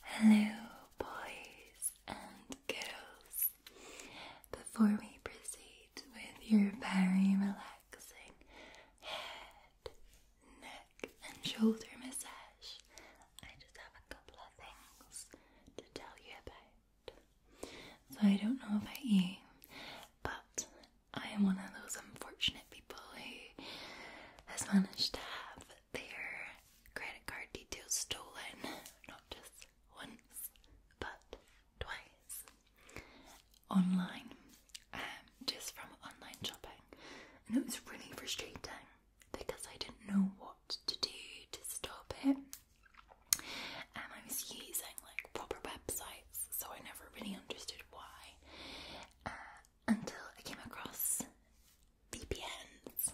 Hello, boys and girls. Before we proceed with your very relaxing head, neck, and shoulder massage, I just have a couple of things to tell you about. So, I don't know about you, but I am one of those unfortunate people who has managed to have their credit card details stolen, not just once, but twice, online, um, just from online shopping. And it was really frustrating because I didn't know what to do to stop it. Um, I was using like proper websites, so I never really understood why. Uh, until I came across VPNs.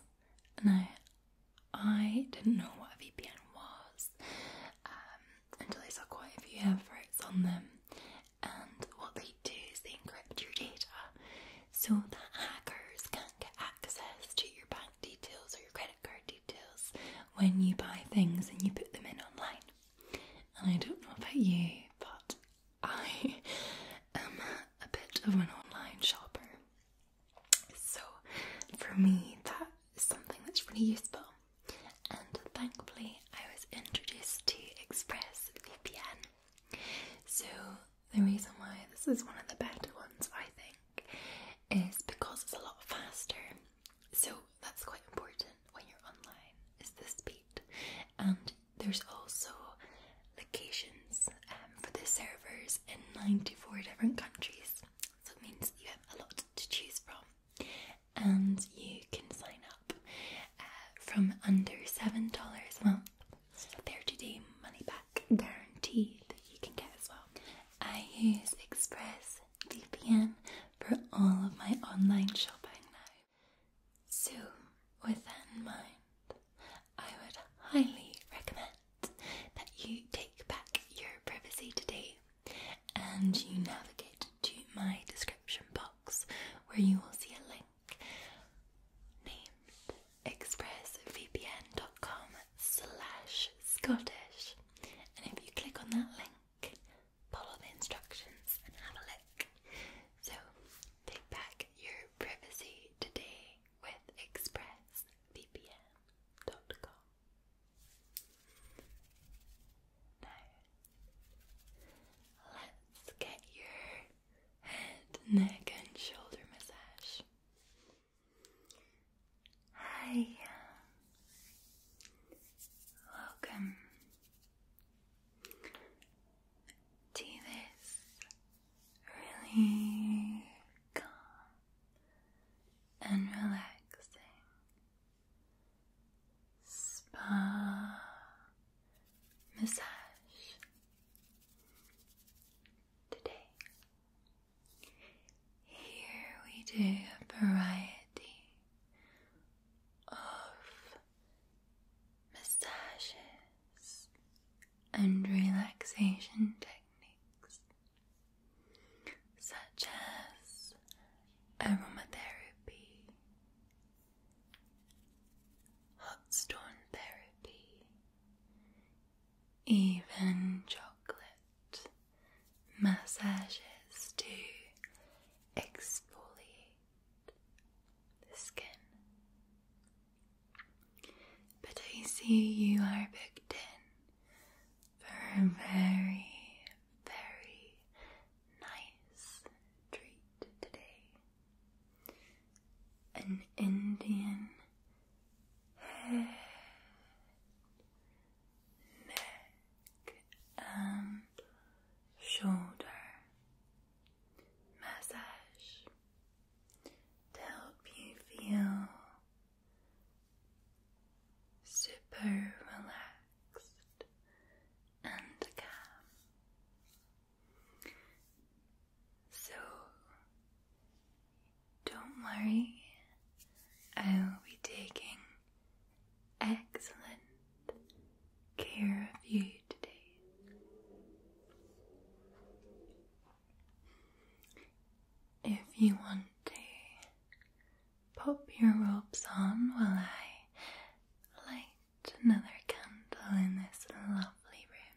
and I didn't know what a VPN was um, until I saw quite a few efforts on them. And what they do is they encrypt your data so that hackers can't get access to your bank details or your credit card details when you buy things and you put them in online. And I don't know about you, but I am a bit of an online shopper. So for me, that is something that's really useful. And thankfully, I was introduced to ExpressVPN. So the reason why this is one of the better ones, I think, is because it's a lot faster. So that's quite important when you're online, is the speed. And there's also locations um, for the servers in 94 different countries, so it means you have a lot to choose from, and you can sign up uh, from under seven dollars a month. So a 30-day money-back guarantee that you can get as well. I use Express VPN for all of my online shopping now. So, with that in mind, I would highly recommend that you take back your privacy today and you navigate to my description box where you will see a link named expressvpn.com slash Scottish. And if you click on that link, follow the instructions and have a look. So, take back your privacy today with expressvpn.com. Now, let's get your head, neck, and shoulder massage. Hi, welcome to this really calm and relaxing spa massage today. Here we do a variety of massages, and relaxation techniques such as aromatherapy, hot stone therapy, even chocolate massages to exfoliate skin. But I see you are booked in for a very, very nice treat today. An Indian head, neck, and shoulder massage to help you feel super relaxed and calm. So don't worry, I will be taking excellent care of you. If you want to pop your robes on while I light another candle in this lovely room.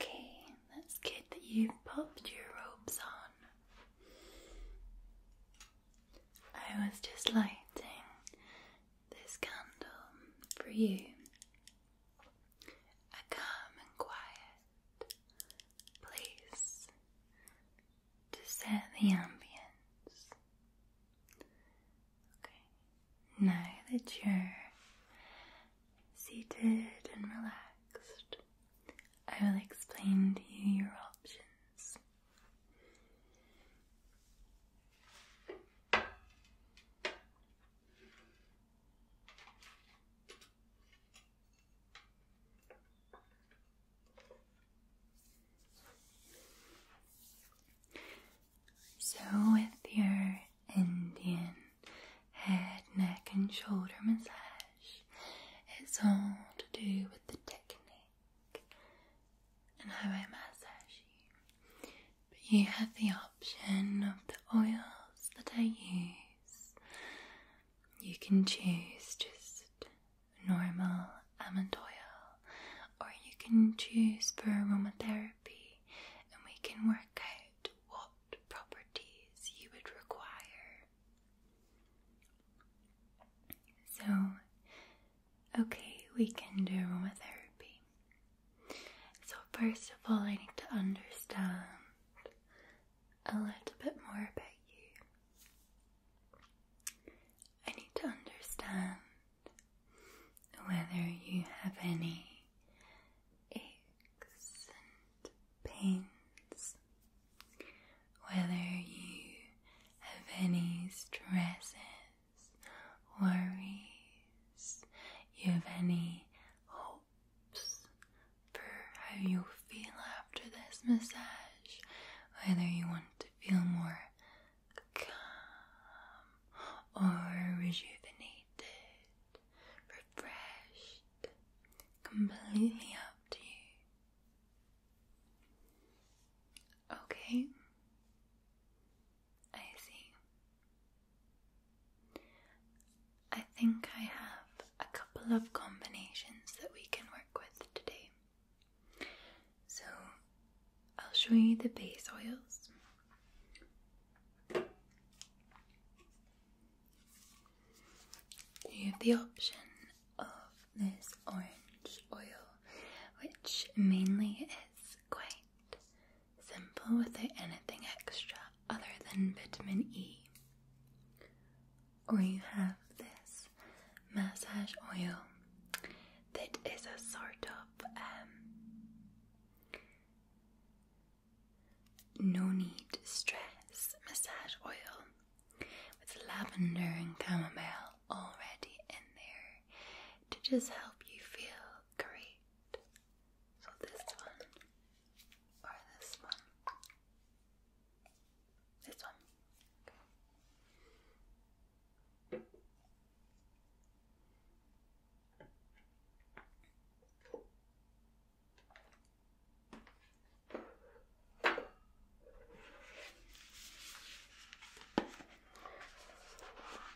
Okay, that's good that you've popped your robes on. I was just lighting this candle for you. A calm and quiet place to set the ambience. Okay, now that you're seated and relaxed, I will explain to you your options. So, with your Indian head, neck, and shoulder massage, it's all to do with the technique and how I massage you. But you have the option of the oils that I use. You can choose just normal almond oil, or you can choose for aromatherapy and we can work out what properties you would require. So, okay, we can do aromatherapy. So, first of all, I need to understand a little bit more about you. I need to understand whether you have any aches and pains, whether you have any stresses, worries, you have any hopes for how you'll feel after this massage, whether you want to feel more calm or rejuvenated, refreshed, completely up to you. Okay, I see. I think I have a couple of combinations that we can work with today. So I'll show you the base oils. You have the option of this orange oil, which mainly is quite simple without anything extra other than vitamin E. Or you have this massage oil that is a sort of um, no need stress massage oil with lavender and chamomile already in there to just help you feel great. So, this one or this one. This one.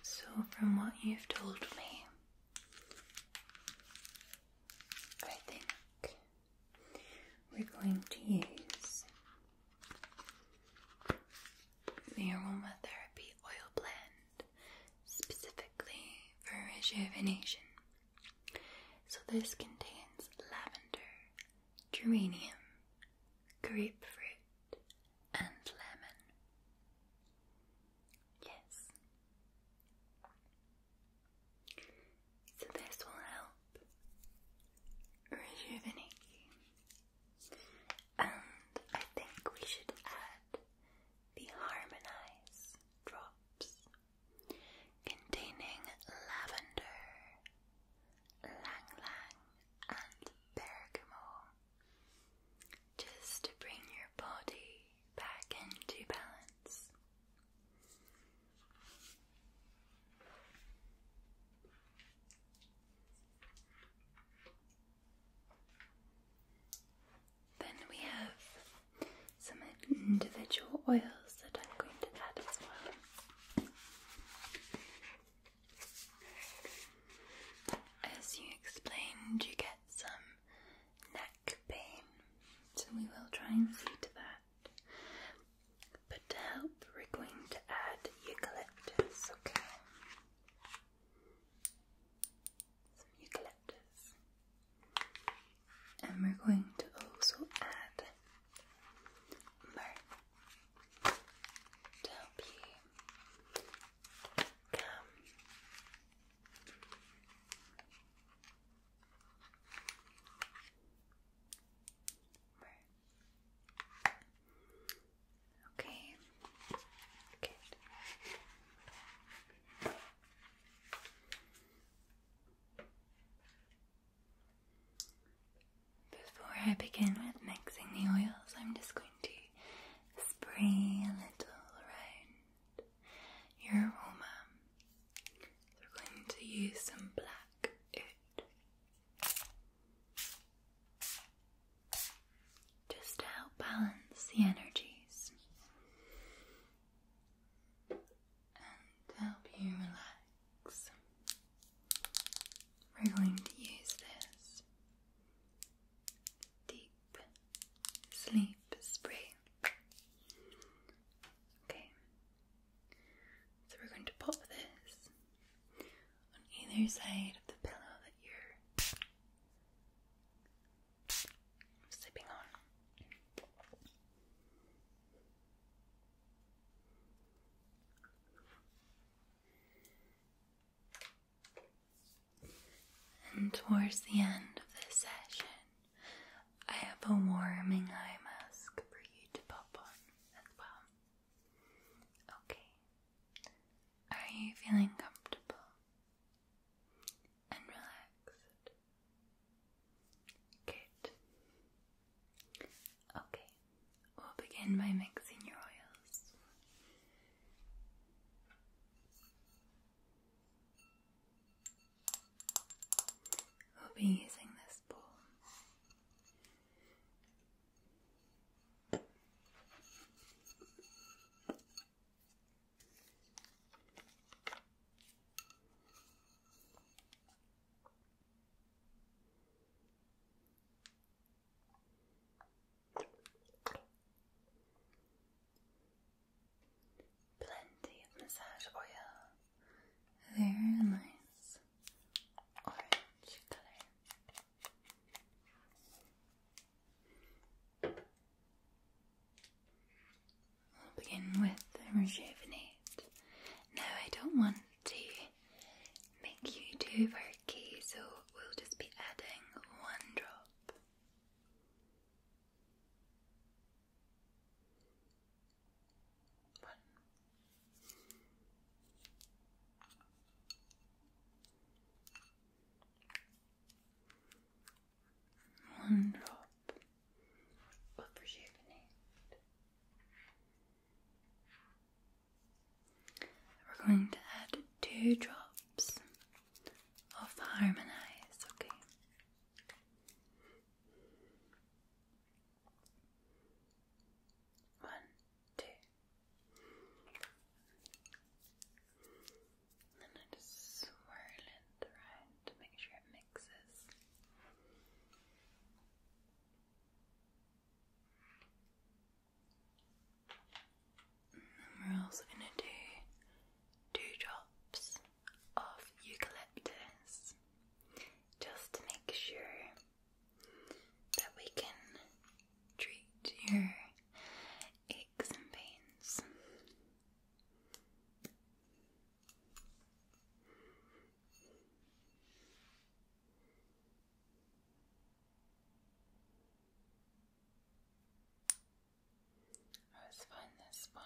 So, from what you've told me, I think we're going to use the aromatherapy oil blend specifically for rejuvenation. So, this contains lavender, geranium, grapefruit, and lemon. Yes. So this will help rejuvenate you. And I think we should add the Harmonize drops containing lavender, lang and bergamot just to bring your body back into balance. Then we have some individual oils that I'm going to add as well. As you explained, you get some neck pain, so we will try and see to that. But help, we're going to add eucalyptus, okay? Some eucalyptus. And we're going to also add myrrh help you calm Okay. Before I begin with mixing the oils, I'm just going to spray a little around your aroma. So we're going to use some black. Just to help balance the energies and help you relax. We're going to use this deep sleep spray. Okay, so we're going to pop this on either side of the pillow that you're sleeping on. And towards the end of this session, I have a warming eye mask for you to pop on as well. Okay. Are you feeling comfortable and relaxed? Good. Okay, we'll begin by mixing your oils. We'll be using this ball. Plenty of massage oil very nice orange color. We'll begin with the rejuvenate. No, I don't want to make you too perky, so we'll just be adding one drop. One. drop of rejuvenate. We're going to add two drops of harmonize, okay? One, two. And I just swirl it around to make sure it mixes. And we also going to do two drops of eucalyptus just to make sure that we can treat your aches and pains. Let's find this one.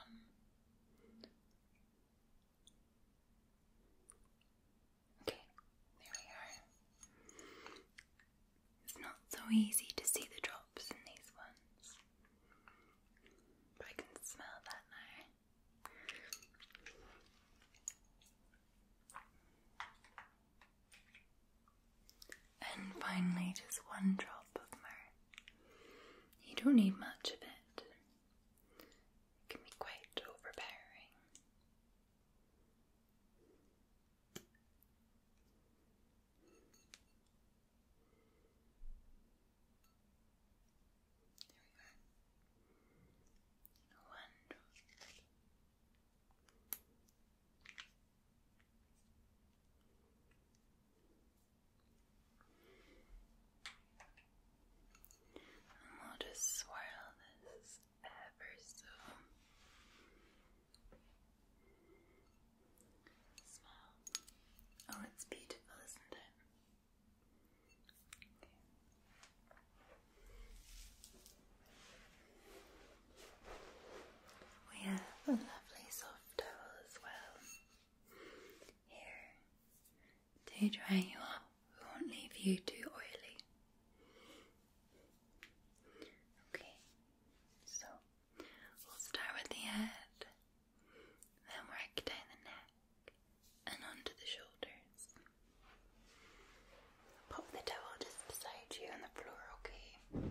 Okay, there we are. It's not so easy to see the drops in these ones, I can smell that now. And finally, just one drop of myrrh. You don't need much of it, it can be quite overpowering. There we go. Wonderful. And we'll just swirl this ever so Oh, it's beautiful, isn't it? We have a lovely soft towel as well. Here, to dry you up, we won't leave you too oily. Okay, so we'll start with the head, then work down the neck and onto the shoulders. Pop the towel just beside you on the floor, okay?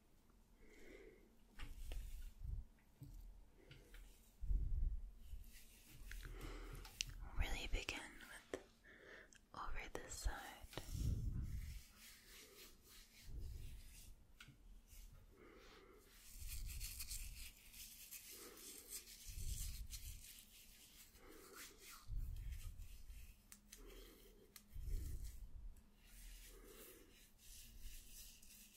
Really begin with over this side.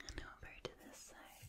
And over to this side.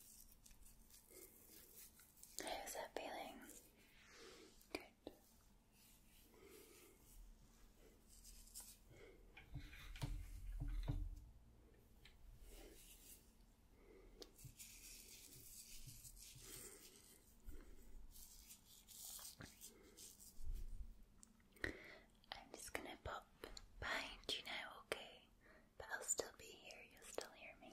How's that feeling? Good. I'm just gonna pop behind you now, okay? But I'll still be here, you'll still hear me.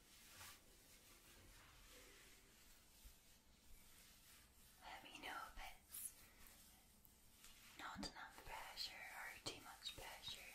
Let me know if it's not enough pressure or too much pressure.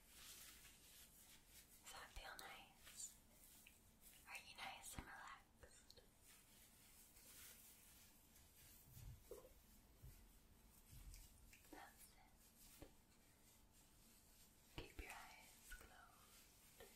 Does that feel nice? Are you nice and relaxed? That's it. Keep your eyes closed.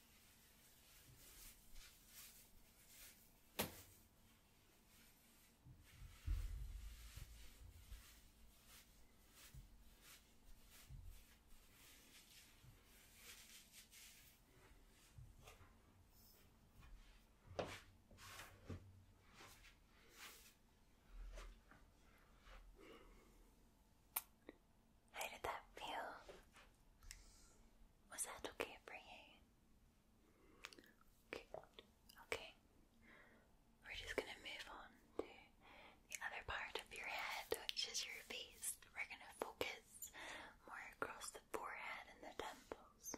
How did that feel? Was that okay for you? Okay. We're just gonna move on to the other part of your head, which is your face. We're gonna focus more across the forehead and the temples.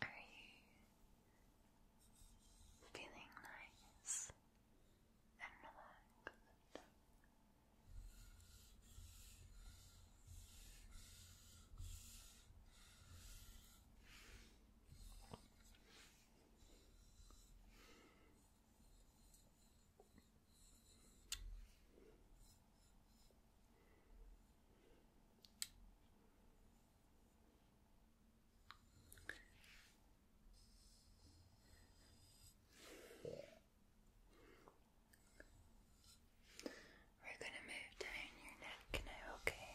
Are you feeling nice and relaxed? We're going to move down your neck okay?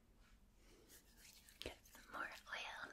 Get some more oil.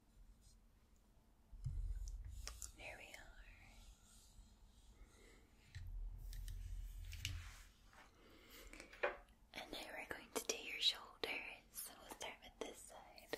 There we are. And now we're going to do your shoulders. So we'll start with this side.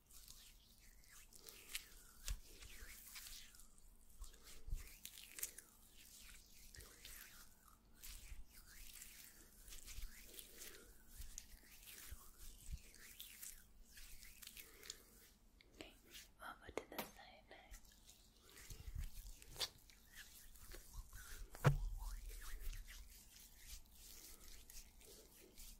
Okay, over to the side now. Okay.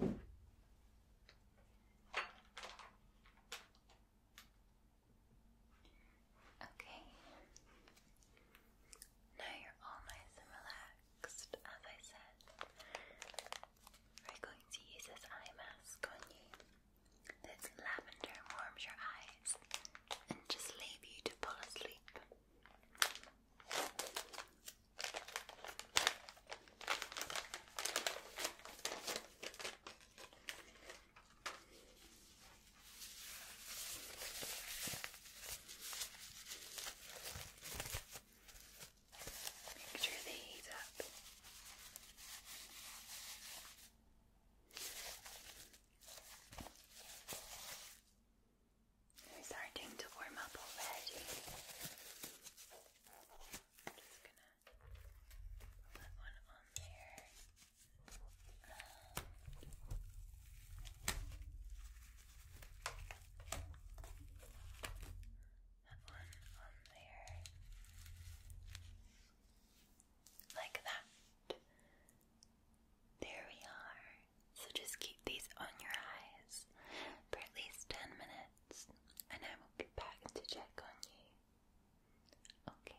Okay. Now you're all nice and relaxed, as I said. We're going to use this eye mask on you. This lavender warms your eyes and just leave you to fall asleep. Make sure they heat up. They're starting to warm up already. just gonna put one on there. And one on there. Like that. There we are so just keep these on your eyes for at least 10 minutes, and I will be back to check on you. Okay.